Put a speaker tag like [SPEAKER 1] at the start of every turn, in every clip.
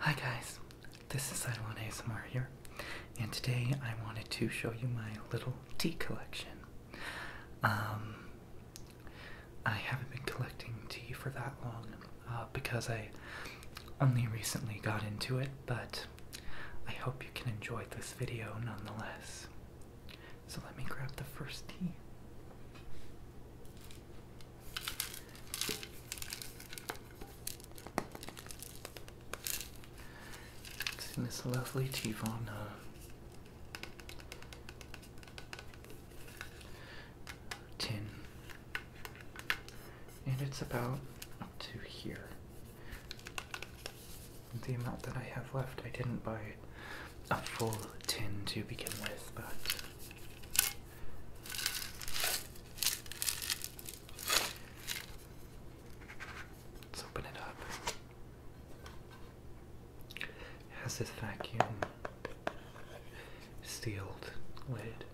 [SPEAKER 1] Hi guys, this is Iwan Asmar here, and today I wanted to show you my little tea collection. Um, I haven't been collecting tea for that long uh, because I only recently got into it, but I hope you can enjoy this video nonetheless. So let me grab the first tea. It's in this lovely Tivana. Tin. And it's about up to here the amount that I have left. I didn't buy a full tin to begin with, but. Let's open it up. has this vacuum sealed lid.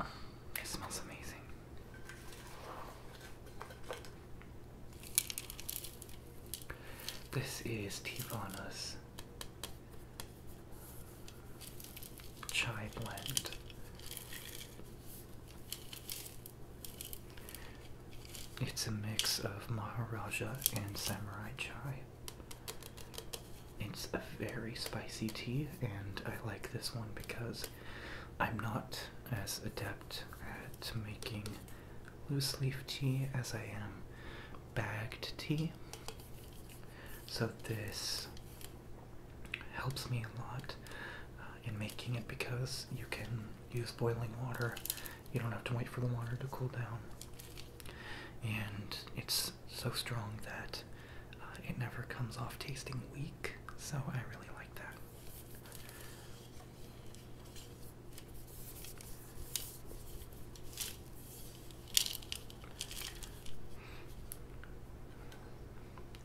[SPEAKER 1] It smells amazing. This is Tivana's chai blend. It's a mix of Maharaja and Samurai chai. It's a very spicy tea, and I like this one because I'm not as adept at making loose leaf tea as I am bagged tea. So this helps me a lot uh, in making it because you can use boiling water. You don't have to wait for the water to cool down. And it's so strong that uh, it never comes off tasting weak so I really like that.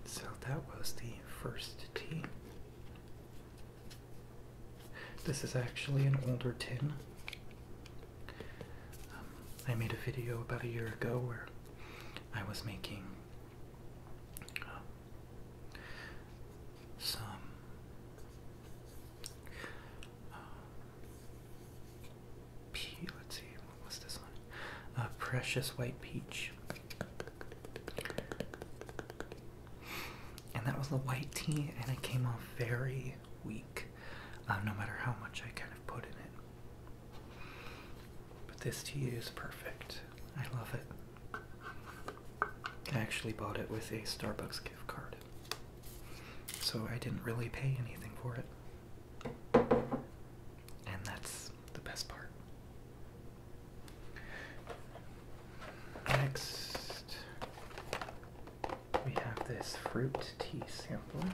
[SPEAKER 1] So that was the first tea. This is actually an older tin. Um, I made a video about a year ago where I was making some uh, Let's see, what this one? Uh, Precious White Peach. And that was the white tea, and it came off very weak, uh, no matter how much I kind of put in it. But this tea is perfect. I love it. I actually bought it with a Starbucks gift card. So I didn't really pay anything for it. And that's the best part. Next, we have this fruit tea sampler.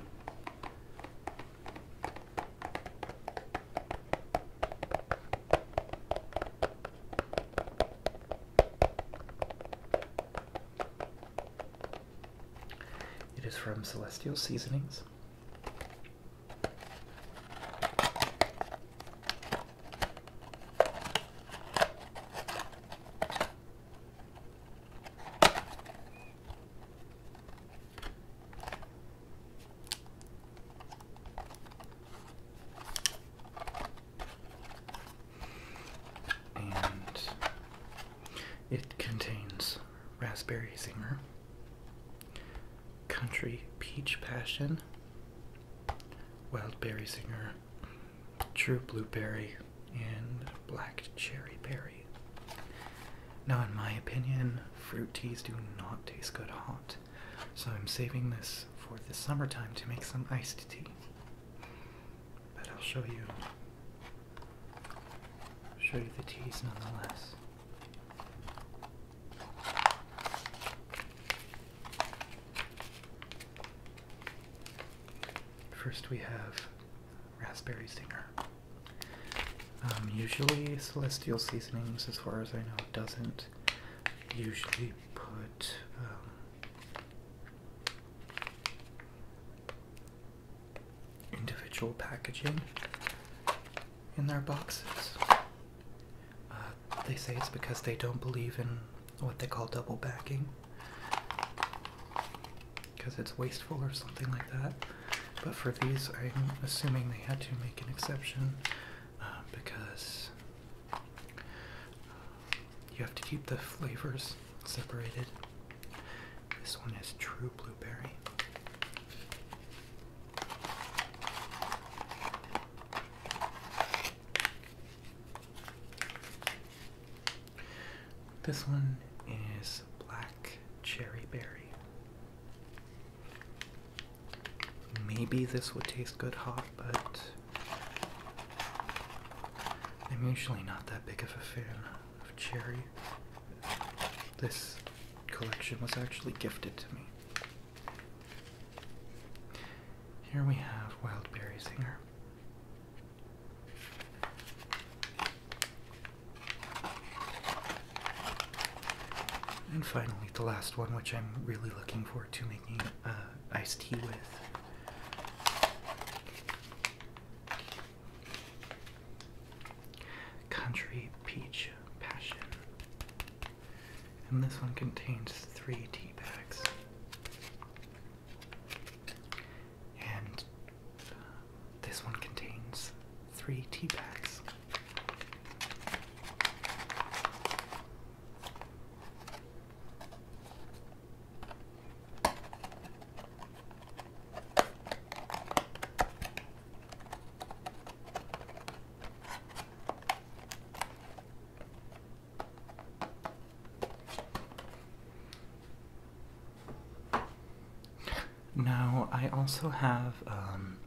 [SPEAKER 1] It is from Celestial Seasonings. And it contains raspberry zinger, country peach passion, wild berry zinger, true blueberry, and black cherry berry. Now, in my opinion, fruit teas do not taste good hot, so I'm saving this for the summertime to make some iced tea. But I'll show you, show you the teas nonetheless. First, we have raspberry stinger. Um, usually, celestial seasonings, as far as I know, doesn't usually put. Um, individual packaging in their boxes. Uh, they say it's because they don't believe in what they call double backing, because it's wasteful or something like that. But for these, I'm assuming they had to make an exception uh, because uh, you have to keep the flavors separated. This one is true blueberry. This one is black cherry berry. Maybe this would taste good hot, but I'm usually not that big of a fan of cherry. This collection was actually gifted to me. Here we have Wild Berry Singer. And finally, the last one, which I'm really looking forward to making uh, iced tea with Country Peach Passion. And this one contains three tea bags. And uh, this one contains three tea bags. Now, I also have um,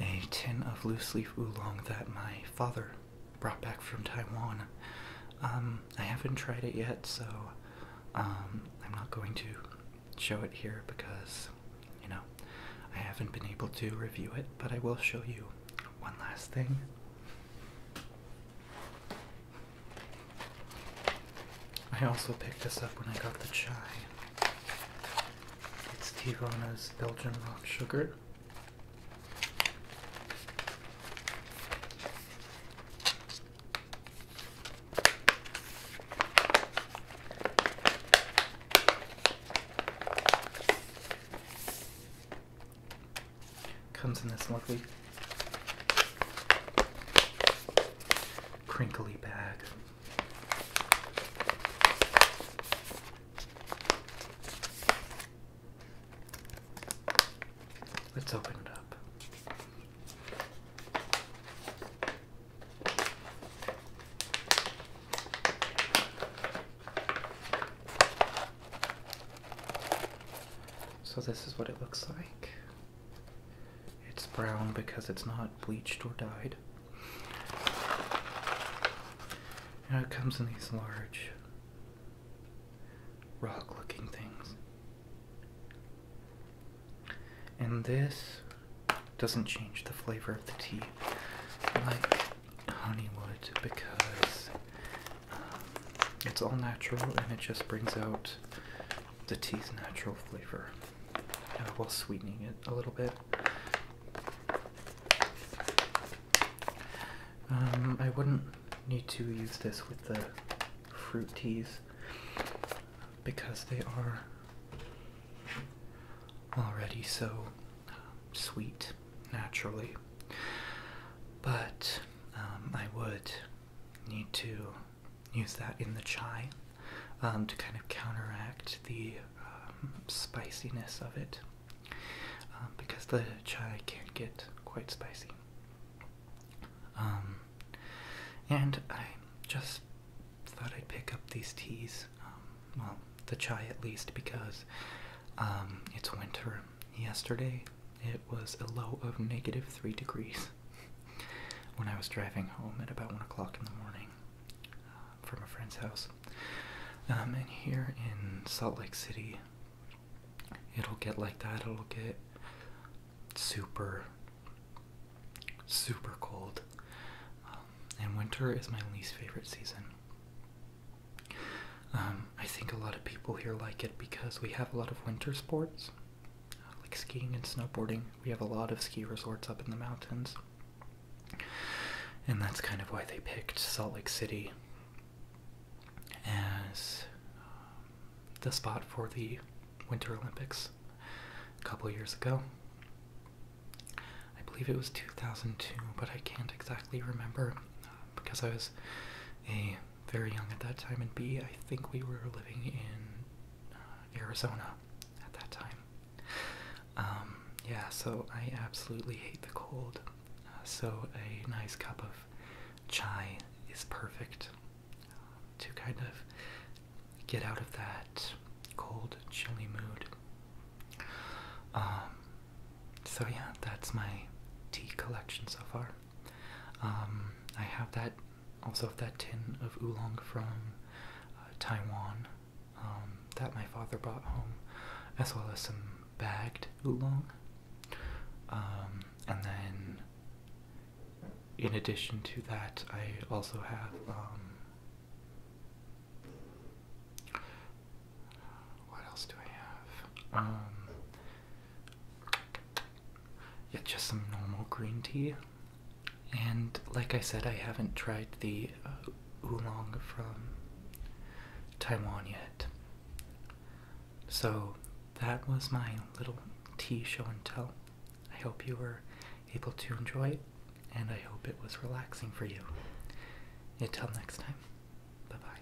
[SPEAKER 1] a tin of loose leaf oolong that my father brought back from Taiwan. Um, I haven't tried it yet, so um, I'm not going to show it here because, you know, I haven't been able to review it, but I will show you one last thing. I also picked this up when I got the chai. It's Tivona's Belgian Rock Sugar. Comes in this lovely crinkly bag. Let's open it up. So this is what it looks like. It's brown because it's not bleached or dyed inside. it comes in these large rock looking things. And this doesn't change the flavor of the tea like honey because um, it's all natural and it just brings out the tea's natural flavor while sweetening it a little bit. Um, I wouldn't need to use this with the fruit teas because they are already so sweet naturally. But um, I would need to use that in the chai um, to kind of counteract the um, spiciness of it um, because the chai can get quite spicy. and I just thought I'd pick up these teas, well, the chai at least, because it's winter. Yesterday it was a low of negative 3 degrees when I was driving home at about 1 o'clock in the morning from a friend's house. Um, and here in Salt Lake City, it'll get like that. It'll get super, super cold. Um, and winter is my least favorite season. Um, I think a lot of people here like it because we have a lot of winter sports, like skiing and snowboarding. We have a lot of ski resorts up in the mountains. And that's kind of why they picked Salt Lake City as um, the spot for the Winter Olympics a couple years ago. I believe it was 2002, but I can't exactly remember uh, because I was A, very young at that time, and B, I think we were living in uh, Arizona at that time. Um, yeah, so I absolutely hate the cold. Uh, so a nice cup of chai is perfect uh, to kind of get out of that cold, chilly mood. Um, so yeah, that's my tea collection so far. Um, I have that also that tin of oolong from uh, Taiwan um, that my father brought home, as well as some bagged oolong. Um, and then, in addition to that, I also have. Um, what else do I have? yeah, just some normal green tea. And like I said, I haven't tried the uh, oolong from Taiwan yet. So that was my little tea show and tell. I hope you were able to enjoy it, and I hope it was relaxing for you. Until next time, bye bye.